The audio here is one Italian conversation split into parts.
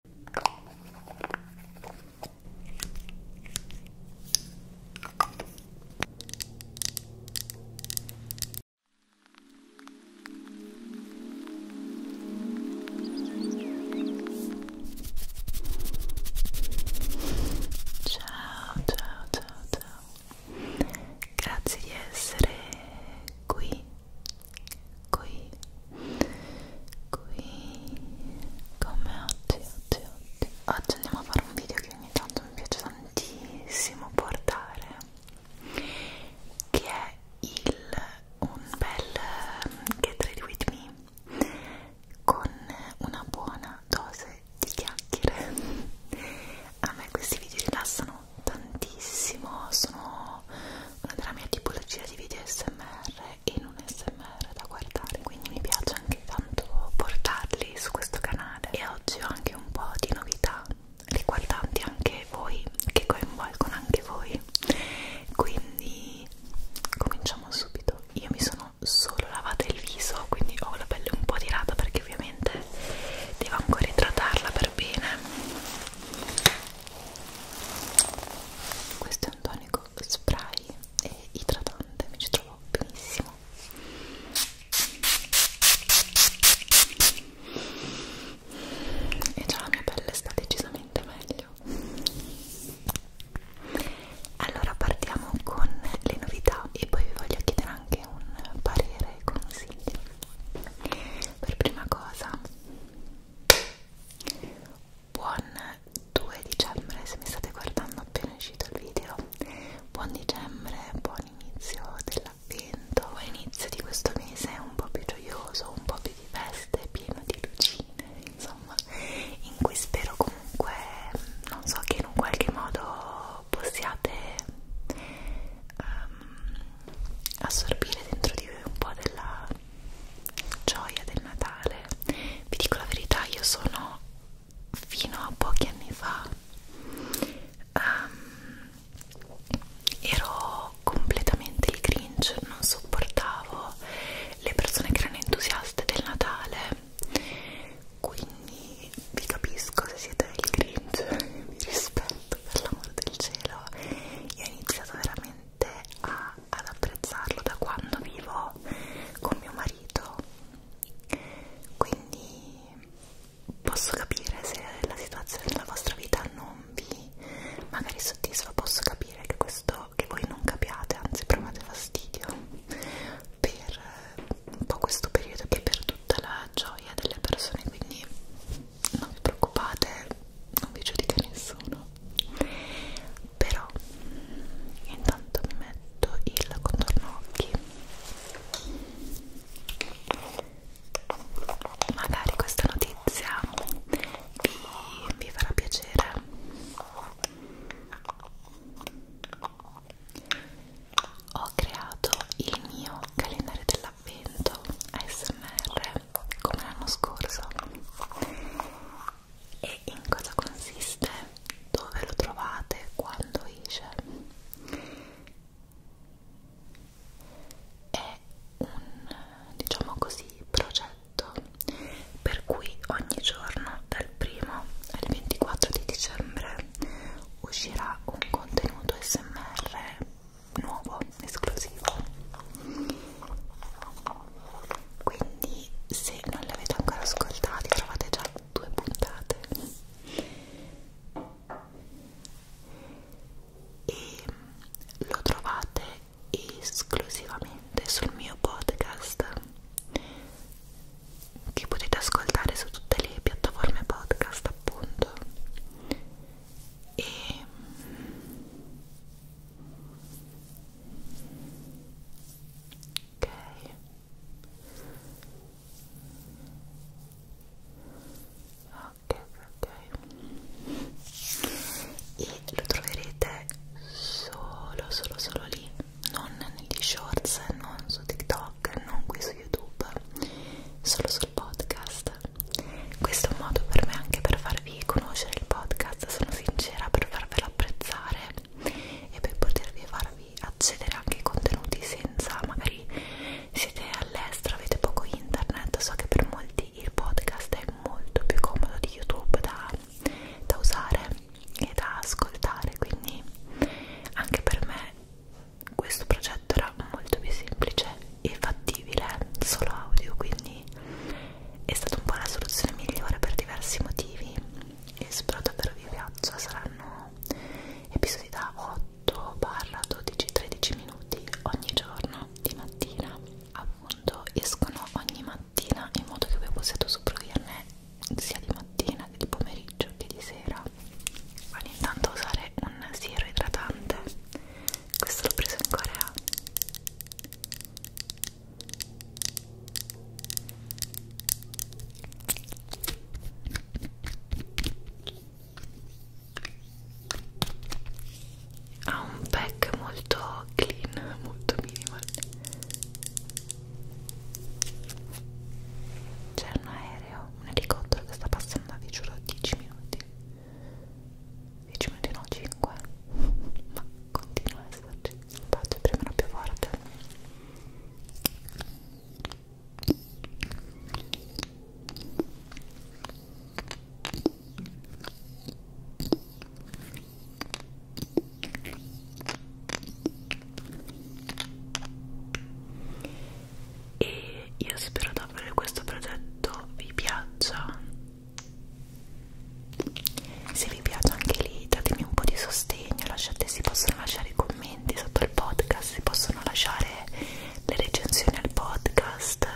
ciao ciao ciao grazie di essere qui qui, qui, come oggi, oggi, oggi. Oggi andiamo a fare un video che ogni tanto mi piace tantissimo portare, che è il un bel mm, Get Ready With Me con una buona dose di chiacchiere. A me questi video rilassano tantissimo, sono una della mia tipologia di video SMR in un smr da guardare quindi mi piace anche tanto portarli su questo canale e oggi ho anche un po' di novità riguardanti anche voi che coinvolgono anche voi quindi cominciamo subito io mi sono solo lavata il viso quindi ho la pelle un po' tirata perché ovviamente devo ancora idratarla per bene questo è un tonico spray e idratante, mi ci trovo benissimo e già la mia pelle sta decisamente meglio allora partiamo con le novità e poi vi voglio chiedere anche un parere e consiglio per prima cosa buon 2 dicembre se mi state guardando appena uscito il video buon dicembre, buon inizio dell'avvento buon inizio di questo mese un po' più gioioso, un po' più di feste pieno di lucine insomma in cui spero comunque non so che in un qualche modo possiate um, assorbire dentro di voi un po' della gioia del Natale. Vi dico la verità, io sono fino a pochi anni fa um, ero completamente il cringe, non sopportavo le persone che erano entusiaste del Natale. Quindi vi capisco se siete il cringe, vi rispetto per l'amor del cielo. Io ho iniziato veramente veramente a, ad apprezzarlo da quando vivo con mio marito quindi posso capire se la situazione della vostra vita non vi magari soddisfa posso capire che questo che voi non capiate anzi provate fastidio per eh, un po' questo periodo che per tutta la gioia delle persone quindi non vi preoccupate non vi giudica nessuno però intanto mi metto il contorno occhi magari questa notizia vi, vi farà piacere ho creato il mio calendario dell'avvento ASMR come l'anno scorso e in cosa consiste, dove lo trovate, quando esce. È un, diciamo così, progetto per cui ogni giorno dal 1 al 24 di dicembre uscirà un contenuto SMR nuovo, esclusivo quindi se non l'avete ancora ascoltato trovate già due puntate e lo trovate esclusivamente sul mio podcast che potete ascoltare su tutte le piattaforme podcast appunto e ok ok ok e lo troverete solo solo solo lì non negli shorts non su tiktok non qui su youtube solo sul podcast questo è un modo per me anche per farvi farvi conoscere il podcast, sono sincera per farvelo apprezzare e per potervi farvi accedere anche ai contenuti senza magari siete all'estero, avete poco internet, so che per molti il podcast è molto più comodo di YouTube da, da usare e da ascoltare, quindi anche per me questo progetto era molto più semplice e fattibile, solo audio, quindi è stata un po' la soluzione migliore per diversi motivi e spero davvero vi piaccia saranno episodi da 8 barra 12-13 minuti ogni giorno di mattina appunto escono ogni mattina in modo che voi possiate usufruirne sia di mattina che di pomeriggio che di sera vado intanto a usare un siero idratante questo l'ho preso in Corea ha un pack molto clean, molto minimal c'è un aereo, un elicottero che sta passando vi giuro 10 minuti 10 minuti no 5 ma continua a esserci faccio premere più forte e io spero davvero che questo progetto vi piaccia se vi piace anche lì datemi un po' di sostegno lasciate, si possono lasciare i commenti sotto il podcast si possono lasciare le recensioni al podcast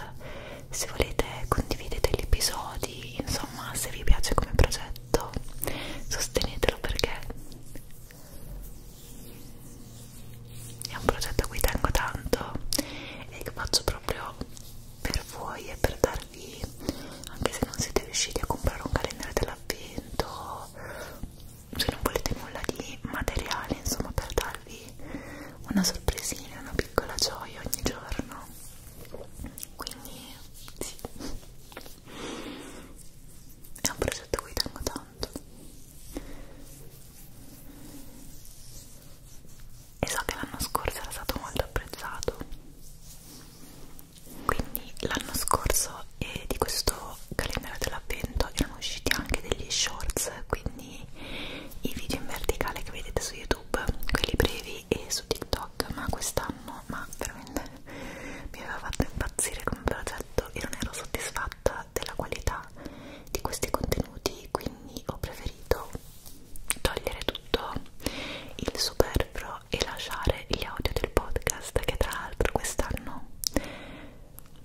se volete condividete gli episodi insomma se vi piace come progetto sostenetelo perché è un progetto a cui tengo tanto e che faccio proprio per voi e per dare organizzarvi anche se non siete riusciti a comprare un calendario dell'avvento se non volete nulla di materiale insomma per darvi una sorpresina una piccola gioia ogni giorno quindi sì è un progetto a cui tengo tanto e so che l'anno scorso era stato molto apprezzato quindi l'anno scorso eh, di questo calendario dell'avvento erano usciti anche degli shorts quindi i video in verticale che vedete su youtube quelli brevi e su tiktok ma quest'anno ma veramente mi aveva fatto impazzire come progetto e non ero soddisfatta della qualità di questi contenuti quindi ho preferito togliere tutto il superfluo video e lasciare gli audio del podcast che tra l'altro quest'anno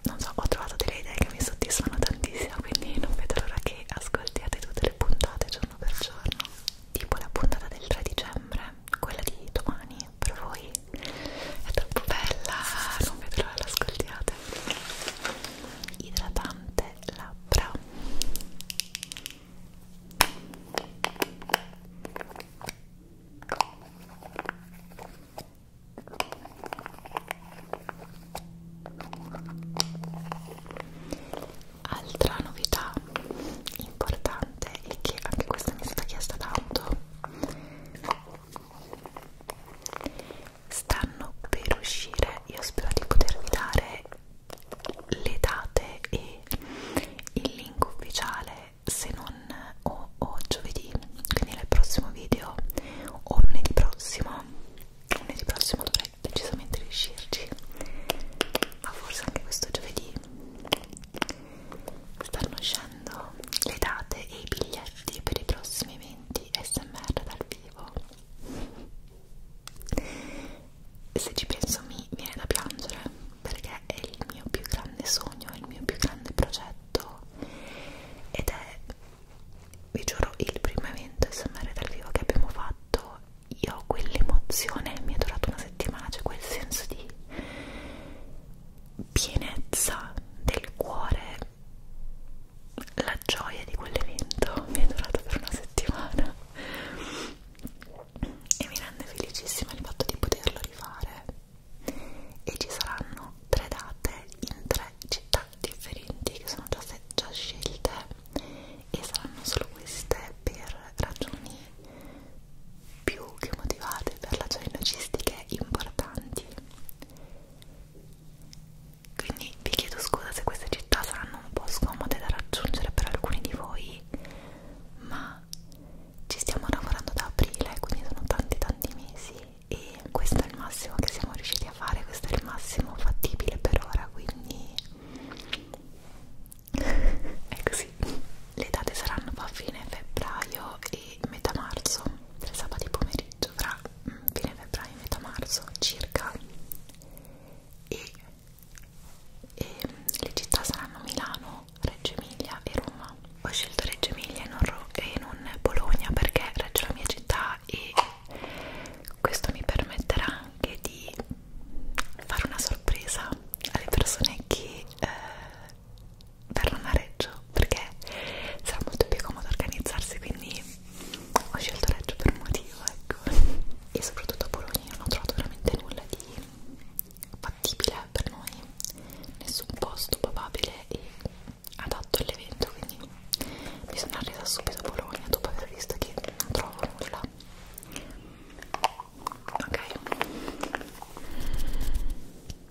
non so ho trovato delle idee che mi soddisfano tantissimo quindi non vedo l'ora che ascoltiate tutte le puntate giorno per giorno tipo la puntata del 3 dicembre quella di domani per voi è troppo bella non vedo l'ora che l'ascoltiate idratante labbra Altra novità importante e che anche questa mi è stata chiesta tanto stanno per uscire, io spero di potervi dare le date e il link ufficiale se non o, o giovedì quindi nel prossimo video o lunedì prossimo lunedì prossimo dovrei decisamente riuscirci ma forse anche questo giovedì stanno uscendo le date e i biglietti per i prossimi eventi smr dal vivo se ci penso mi viene da piangere perché è il mio più grande sogno, è il mio più grande progetto ed è, vi giuro, il primo evento SMR dal vivo che abbiamo fatto. Io ho quell'emozione, mi è durata una settimana, c'è cioè quel senso di pienezza del cuore, la gioia di quell'evento mi è durata per una settimana e mi rende felicissima il fatto di poterlo rifare e ci saranno tre date in tre città differenti che sono già, già scelte e saranno solo queste per ragioni più che motivate per ragioni logistiche importanti quindi vi chiedo scusa se queste città saranno un po' scomode da raggiungere per alcuni di voi ma ci stiamo lavorando da aprile quindi sono tanti tanti mesi e questo è il massimo che siamo riusciti a fare questo è il massimo fattibile per ora quindi è così le date saranno a fine febbraio e metà marzo del sabato pomeriggio fra mm, fine febbraio e metà marzo circa e e le città saranno Milano, Reggio Emilia e Roma. Ho scelto Reggio Emilia e non, e non Bologna perché Reggio è la mia città e questo mi permetterà anche di fare una sorpresa alle persone che eh, verranno a Reggio perché sarà molto più comodo organizzarsi quindi ho scelto Reggio per un motivo ecco e soprattutto a Bologna non ho trovato veramente nulla di fattibile per noi, nessun posto probabile e adatto all'evento, quindi mi sono arrivata subito a Bologna dopo aver visto che non trovo nulla. Ok.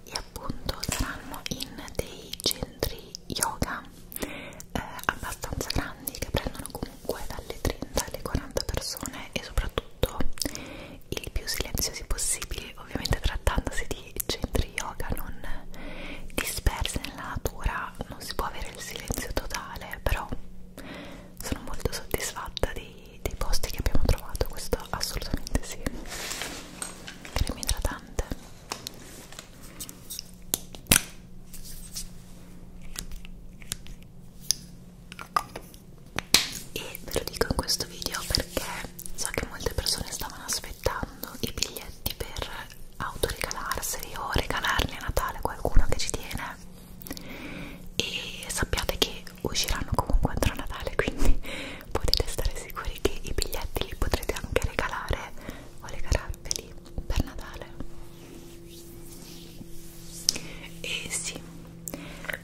E appunto saranno in dei centri yoga eh, abbastanza grandi che prendono comunque comunque dalle 30 alle 40 persone e soprattutto il più silenziosi possibile ovviamente trattandosi di centri yoga non dispersi nella natura non si può avere il silenzio totale però sono molto soddisfatta dei, dei posti che abbiamo trovato questo assolutamente sì crema idratante e ve lo dico in questo video perché so che molte persone stavano aspettando i biglietti per autoregalarseli o regalarli a Natale a qualcuno che ci tiene e sappiate che usciranno comunque entro Natale quindi potete stare sicuri che i biglietti li potrete anche regalare o regalarveli per Natale e sì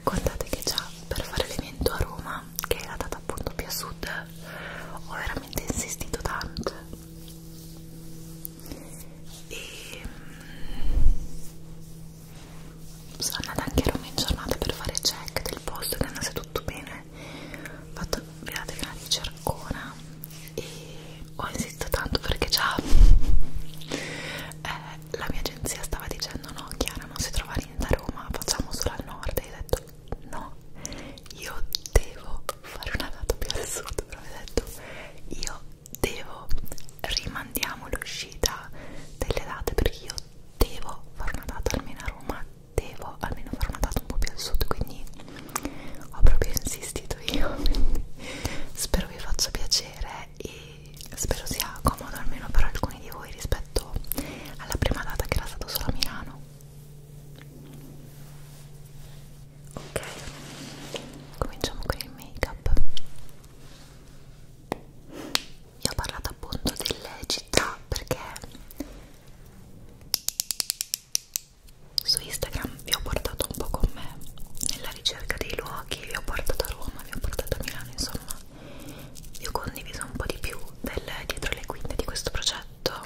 contate che già per fare l'evento a Roma che è la data appunto più a sud ho veramente insistito tanto e mm, sono andata anche a Roma in giornata per fare check del posto che andasse tutto bene ho fatto vedete che la cercona e ho insistito tanto perché già eh, la mia agenzia stava dicendo no Chiara non si trova niente a Roma, facciamo solo al nord e io ho detto no, io devo fare una data più al sud, però ho detto io devo, rimandiamo l'uscita delle date perché io devo fare una data almeno a Roma, devo almeno fare una data un po' più al sud, quindi ho proprio insistito io, spero vi faccia piacere e spero sia comodo almeno per alcuni di voi rispetto alla prima data che era stato solo a Milano ok cominciamo con il make up vi ho parlato appunto delle città perché su Instagram vi ho portato un po' con me nella ricerca dei luoghi pochi, vi ho portato a Roma, vi ho portato a Milano, insomma vi ho condiviso un po' di più del dietro le quinte di questo progetto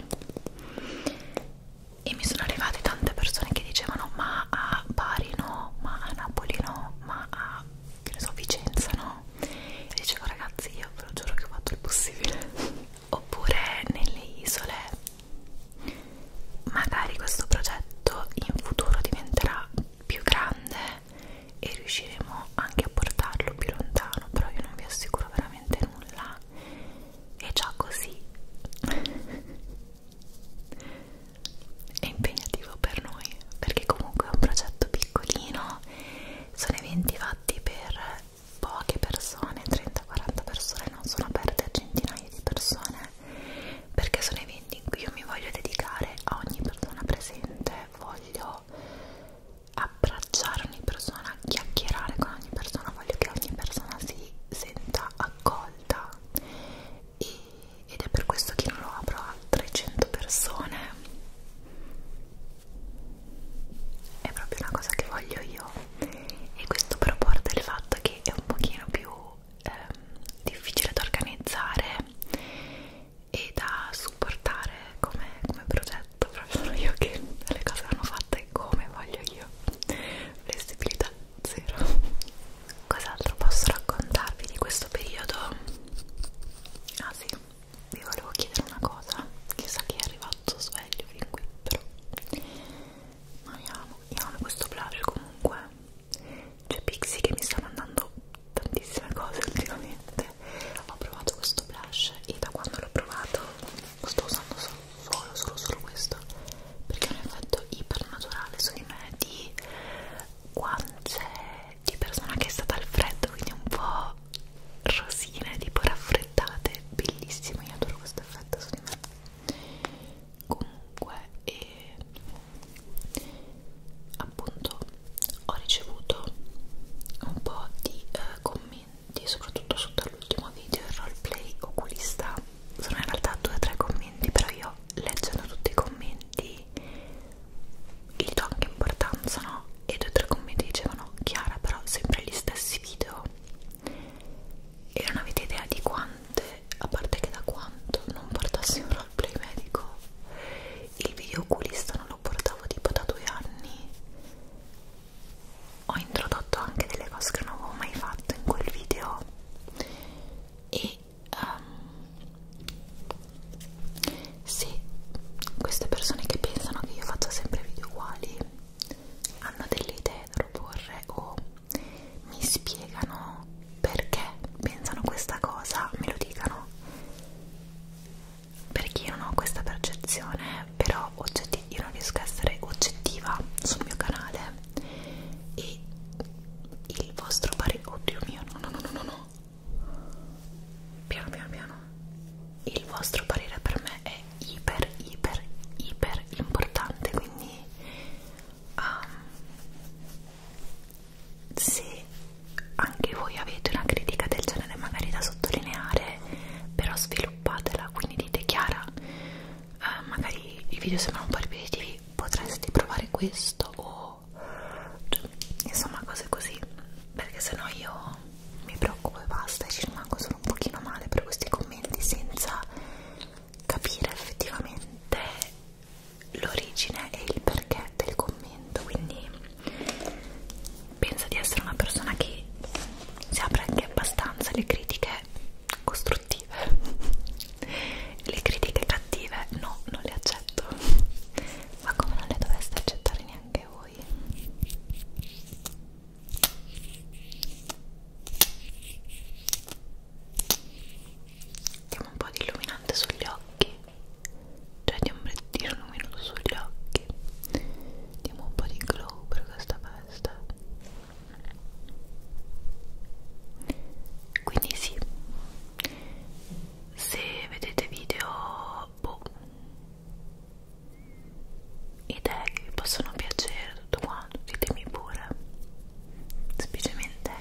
e mi sono arrivate tante persone che dicevano ma a Bari no, ma a Napoli no, ma a che ne so, Vicenza no e dicevo ragazzi io ve lo giuro che ho fatto il possibile oppure nelle isole magari questo progetto in futuro diventerà più grande e riusciremo anche a portarlo più lontano però io non vi assicuro veramente nulla è già così è impegnativo per noi perché comunque è un progetto piccolino sono eventi fatti per poche persone 30-40 persone non sono aperte a centinaia di persone perché sono eventi in cui io mi voglio dedicare a ogni persona presente, voglio abbracciare ogni persona, chiacchierare con ogni persona, voglio che ogni persona si senta accolta e, ed è per questo che non lo apro a 300 persone è proprio una cosa che voglio io e questo per porta il fatto che è un pochino più ehm, difficile da organizzare e da supportare come, come progetto proprio sono io che le cose vanno fatte come voglio io flessibilità zero cos'altro posso raccontarvi di questo periodo? ah sì, vi volevo chiedere una cosa chissà chi è arrivato sveglio fin qui però ma io amo, io amo questo blush comunque c'è cioè, Pixie che mi sta mandando tantissime cose ultimamente. Ho provato questo blush e da quando l'ho provato sto usando solo, solo, solo, solo questo perché ha un effetto ipernaturale su di me di guance cioè, di persona che è stata al freddo, quindi un po' rosine, tipo raffreddate, bellissimo, io adoro questo effetto su di me. Comunque, e e appunto ho ricevuto un po' di eh, commenti soprattutto sotto all'ultimo video il roleplay oculista sono in realtà due o tre commenti però io leggendo tutti i commenti gli do anche importanza no? e due o tre commenti dicevano Chiara però sempre gli stessi video e non avete idea di quante a parte che da quanto non portassi un al playmedico il video oculista non lo portavo tipo da due anni ho introdotto anche delle cose che non avevo mai fatto in quel video e um, se queste persone che pensano che io faccia sempre video uguali hanno delle idee da proporre o mi spiegano perché pensano questa cosa me lo dicano perché io non ho questa percezione però io non riesco a essere oggettiva sul mio canale e il vostro parere oddio mio no no no no no no piano piano piano il vostro parere per me è iper iper iper importante quindi um, se anche voi avete una critica del genere magari da sottolineare però sviluppatela quindi dite Chiara eh, magari i video sembrano un po' ripetitivi potresti provare questo o cioè, insomma cose così perché sennò io mi preoccupo e basta e ci rimango solo un pochino male per questi commenti senza capire effettivamente l'origine e il perché del commento quindi penso di essere una persona che si apre anche abbastanza alle critiche costruttive le critiche cattive no, non le accetto ma come non le doveste accettare neanche voi mettiamo un po' di illuminante sugli occhi cioè di ombrettino luminoso sugli occhi diamo un po' di glow per questa festa quindi sì se vedete video boh idee che vi possono piacere tutto quanto ditemi pure semplicemente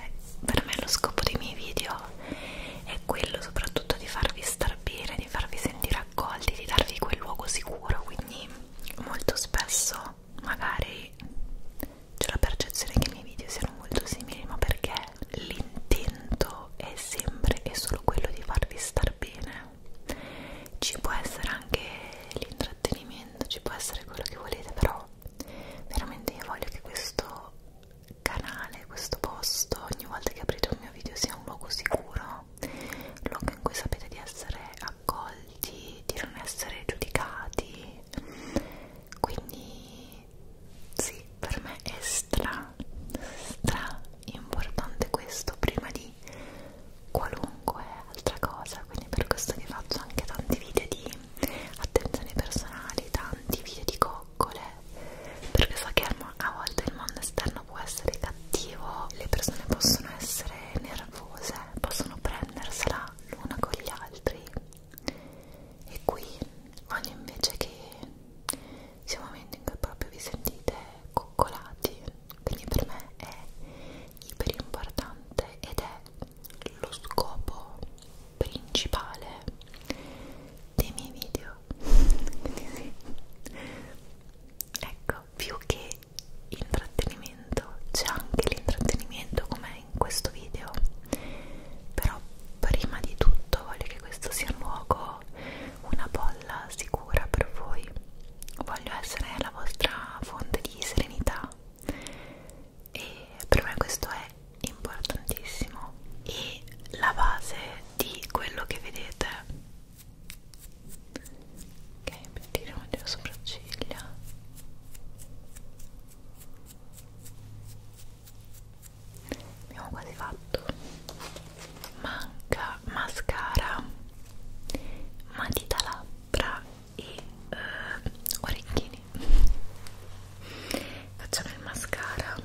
per me lo scopo dei miei video è quello soprattutto di farvi star bene, di farvi sentire accolti, di darvi quel luogo sicuro, quindi molto spesso magari c'è la percezione che i miei video siano molto simili, ma perché l'intento è sempre e solo quello di farvi star bene. Ci può essere anche l'intrattenimento, ci può essere quello che volete, però veramente io voglio che questo canale, questo posto, ogni volta che aprite un mio video sia un luogo sicuro, un luogo in cui sapete di essere accolti, di non essere giudicati. Quindi sì, per me è stra, stra importante questo prima di qualunque altra cosa, quindi per questo che faccio anche tanti video di attenzioni personali, tanti video di coccole, perché so che a volte il mondo esterno può essere cattivo, le persone possono essere nervose, possono prendersela l'una con gli altri e qui voglio invece che sia un momento in cui proprio vi sentite coccolati, quindi per me è iper importante ed è lo scopo principale dei miei video ecco più che intrattenimento c'è anche l'intrattenimento come in questo video però prima di tutto voglio che questo sia un luogo una bolla sicura per voi voglio essere la vostra fonte di serenità e per me questo è importantissimo e la base di quello che vedete ok, pettiniamo le sopracciglia abbiamo quasi fatto manca mascara matita labbra e eh, orecchini facciamo il mascara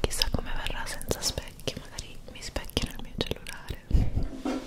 chissà come verrà senza specchi magari mi specchio nel mio cellulare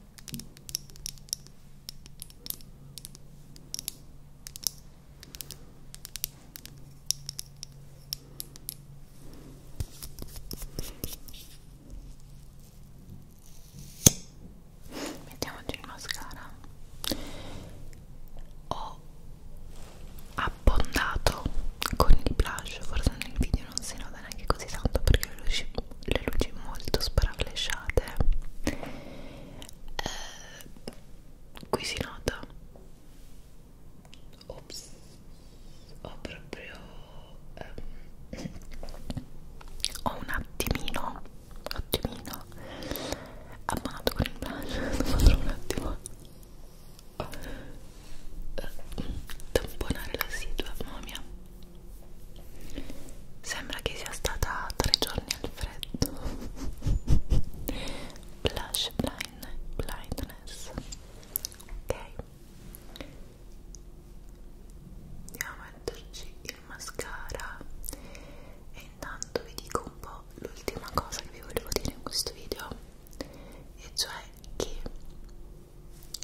Mettiamoci il mascara. Ho abbondato con il blush, forse nel video non si nota andava neanche così tanto perché le luci, le luci molto sparaflesciate eh, qui si nota ops ho proprio ehm, ho un attimino attimino abbonato con il blush un attimo eh, eh, tamponare la situa mamma mia Sembra che sia stata tre giorni al freddo. Blush blind, blindness. Ok. Andiamo a metterci il mascara. E intanto vi dico un po' l'ultima cosa che vi volevo dire in questo video. E cioè che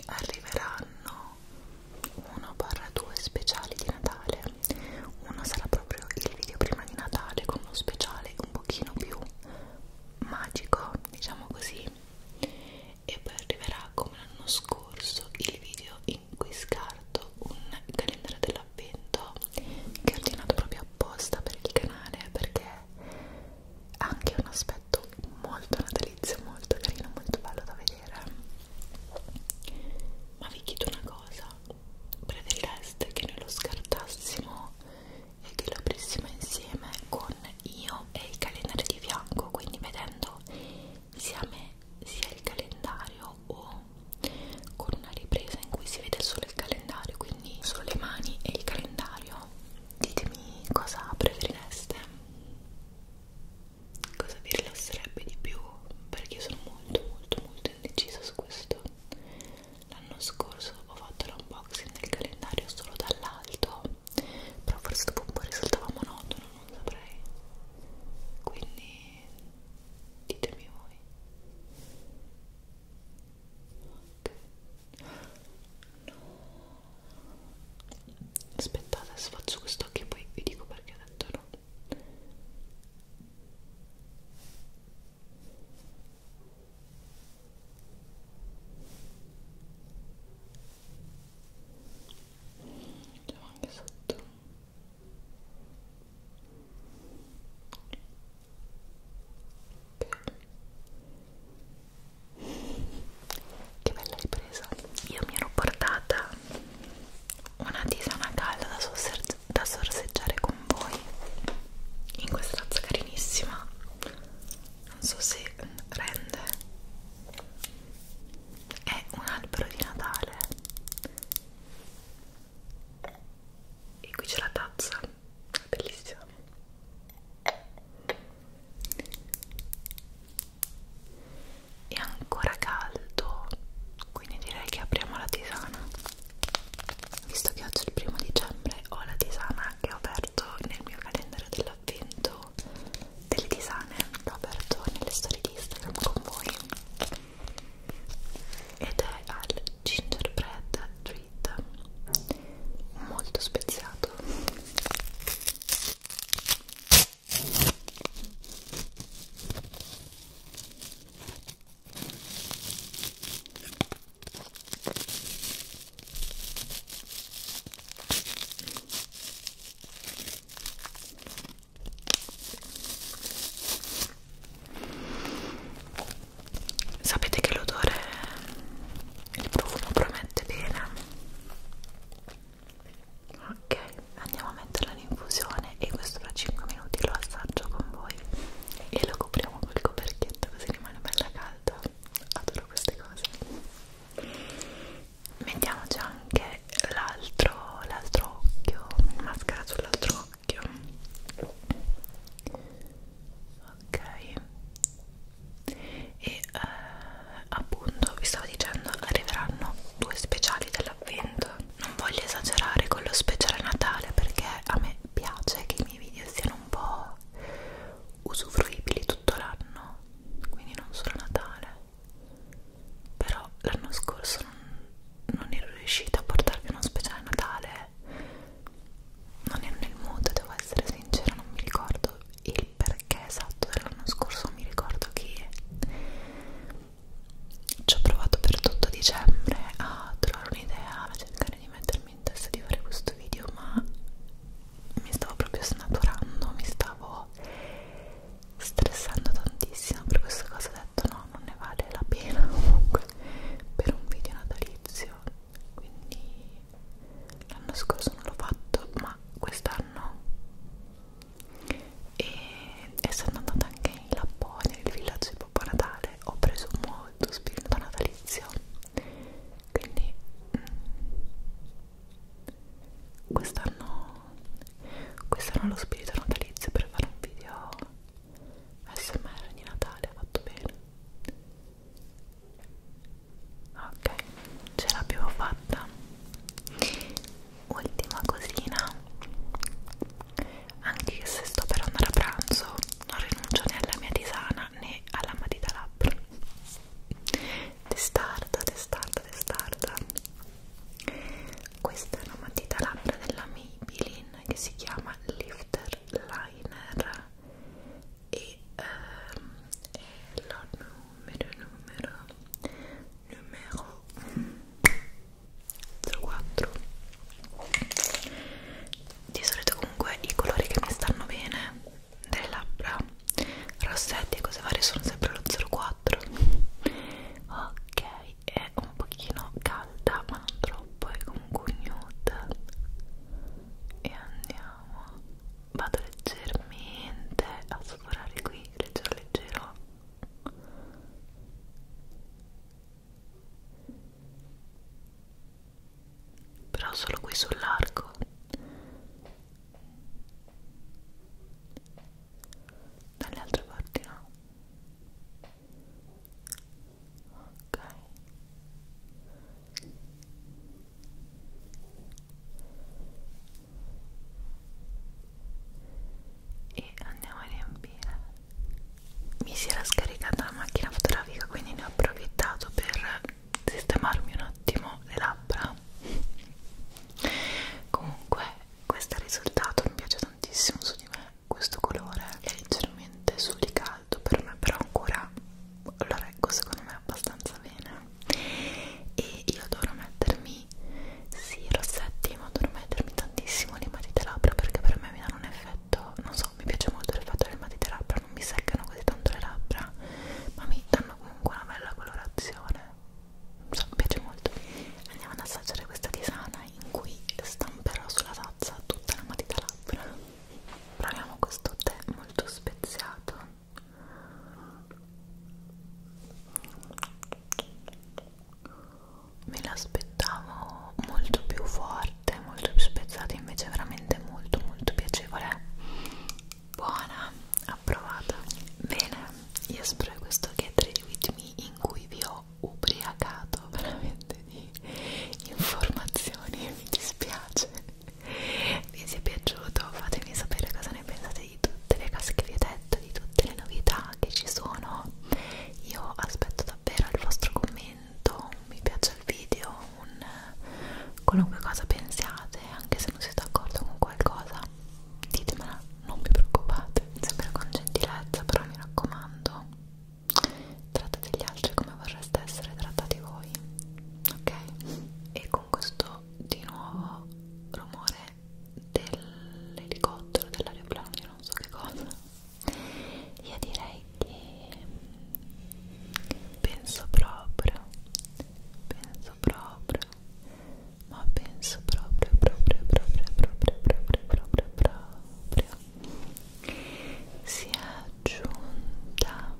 arriveranno uno barra due speciali di Natale uno sarà proprio il video prima di Natale con uno speciale un pochino più magico diciamo così e poi arriverà come l'anno scorso il video in cui scarto un calendario dell'avvento che ho ordinato proprio apposta per il canale perché ha anche un aspetto molto molto una delizia molto carino molto bello da vedere ma vi chiedo una cosa preferireste che noi lo scartassimo e che lo aprissimo insieme con io e il calendario di fianco quindi vedendo sia me sia il calendario o con una ripresa in cui si vede solo il calendario quindi solo le mani e il calendario ditemi cosa preferireste cosa vi rilasserebbe di più perché io sono molto molto molto indecisa su questo l'anno scorso ho fatto l'unboxing del calendario solo dall'alto però forse dopo un po' risultava monotono non saprei quindi ditemi voi ok no aspettate adesso faccio quest'occhio e poi vi dico perché ho detto no c'è anche sotto ok che bella ripresa io mi ero portata una tisana calda da, da sorseggiare con voi in questa tazza carinissima non so se rende è un albero di Natale e qui c'è la tazza bellissima è ancora caldo quindi direi che apriamo la tisana visto che oggi è il primo dicembre ho la tisana che ho aperto nel mio calendario dell'avvento delle tisane l'ho aperto nelle storie di Instagram con voi ed è al gingerbread treat molto speziato Sapete che l'odore, il profumo promette bene ok andiamo a metterla in infusione e questo fra 5 minuti lo assaggio con voi e lo copriamo col coperchietto così rimane bella calda adoro queste cose mettiamoci anche l'altro l'altro occhio mascara sull'altro occhio ok e uh, appunto vi stavo dicendo arriveranno due speciali dell'avvento non voglio esagerare con lo speciale natale perché a me piace che i miei video siano un po' usufruibili tutto l'anno quindi non solo natale però l'anno scorso non, non ero riuscita a portarvi uno speciale natale non ero nel mood, devo essere sincera, non mi ricordo il perché esatto dell'anno scorso mi ricordo che ci ho provato per tutto dicembre a trovare un'idea, a cercare di mettermi in testa di fare questo video, ma mi stavo proprio snaturando, mi stavo stressando tantissimo per questa cosa, ho detto no, non ne vale la pena comunque per un video natalizio, quindi l'anno scorso non l'ho fatto, ma quest'anno e, e sono andata anche in Lapponia, nel villaggio di Babbo Natale ho preso molto spirito natalizio quindi mh, mm, quest'anno quest'anno lo spirito natalizio per fare un video smr di Natale ha fatto bene ok ce l'abbiamo fatta ultima cosina anche se sto per andare a pranzo non rinuncio né alla mia tisana né alla matita labbra testarda testarda testarda questa è una matita labbra della Maybelline che si chiama Lifter Liner e ehm, è la numero numero numero 04 di solito comunque i colori che mi stanno bene delle labbra rossetti e cose varie sono sempre lo 04 ok è un pochino calda ma non troppo è comunque nude e andiamo vado leggermente a sforare qui, leggero leggero però solo qui sull'arco dalle altre parti no ok e andiamo a riempire mi si era scaricata la macchina fotografica quindi ne ho approfittato per sistemarmi un attimo le labbra comunque questo risultato mi piace tantissimo su di me questo colore è leggermente sublicato per me però ancora lo reggo secondo me abbastanza bene e io adoro mettermi sì, rossetti, ma adoro mettermi tantissimo le matite labbra perché per me mi danno un effetto, non so, mi piace molto l'effetto delle matite labbra, non mi seccano così tanto le labbra, ma mi danno comunque una bella colorazione, non so, mi piace molto. Andiamo ad assaggiare questa tisana in cui stamperò sulla tazza tutta la matita labbra. Proviamo questo tè molto speziato me l'aspettavo molto più forte molto più spezzata invece è veramente molto molto piacevole buona approvata bene io spero che questo get ready with me in cui vi ho ubriacato veramente di informazioni mi dispiace vi sia piaciuto fatemi sapere cosa ne pensate di tutte le cose che vi ho detto, di tutte le novità che ci sono. Io aspetto davvero il vostro commento, un mi piace il video, un qualunque cosa pensiate, anche se non siete d'accordo con qualcosa, ditemela, non vi preoccupate, sempre con gentilezza, però mi raccomando, trattate gli altri come vorreste essere trattati voi, ok? E con questo di nuovo rumore dell'elicottero, dell'aeroplano, io non so che cosa io direi che penso proprio penso proprio ma penso proprio proprio proprio proprio proprio proprio proprio si è giunta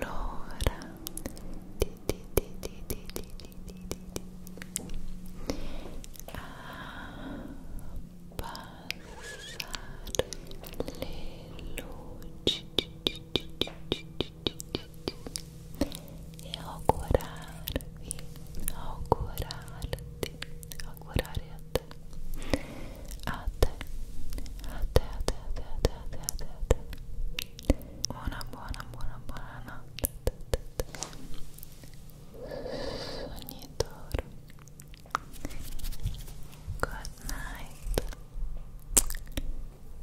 l'ora di e you, augurarti, augurare a te, a te, a te, a te, a te, a te, a te, a te, a te. Una buona, buona, buona notte. Sognatore. Good night.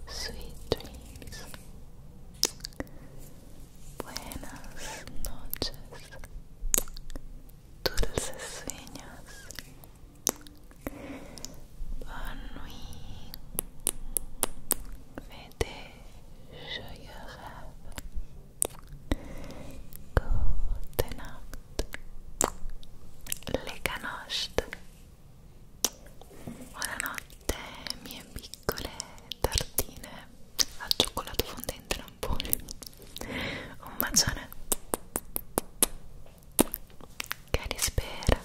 Sweet dreams. Buenas noches. Dulces sueños. Bonne nuit. deze je hebben. Goedenacht. Leganost. Buonanotte, mie piccole tartine al cioccolato fondente lampone. Un bacione. Che rispera.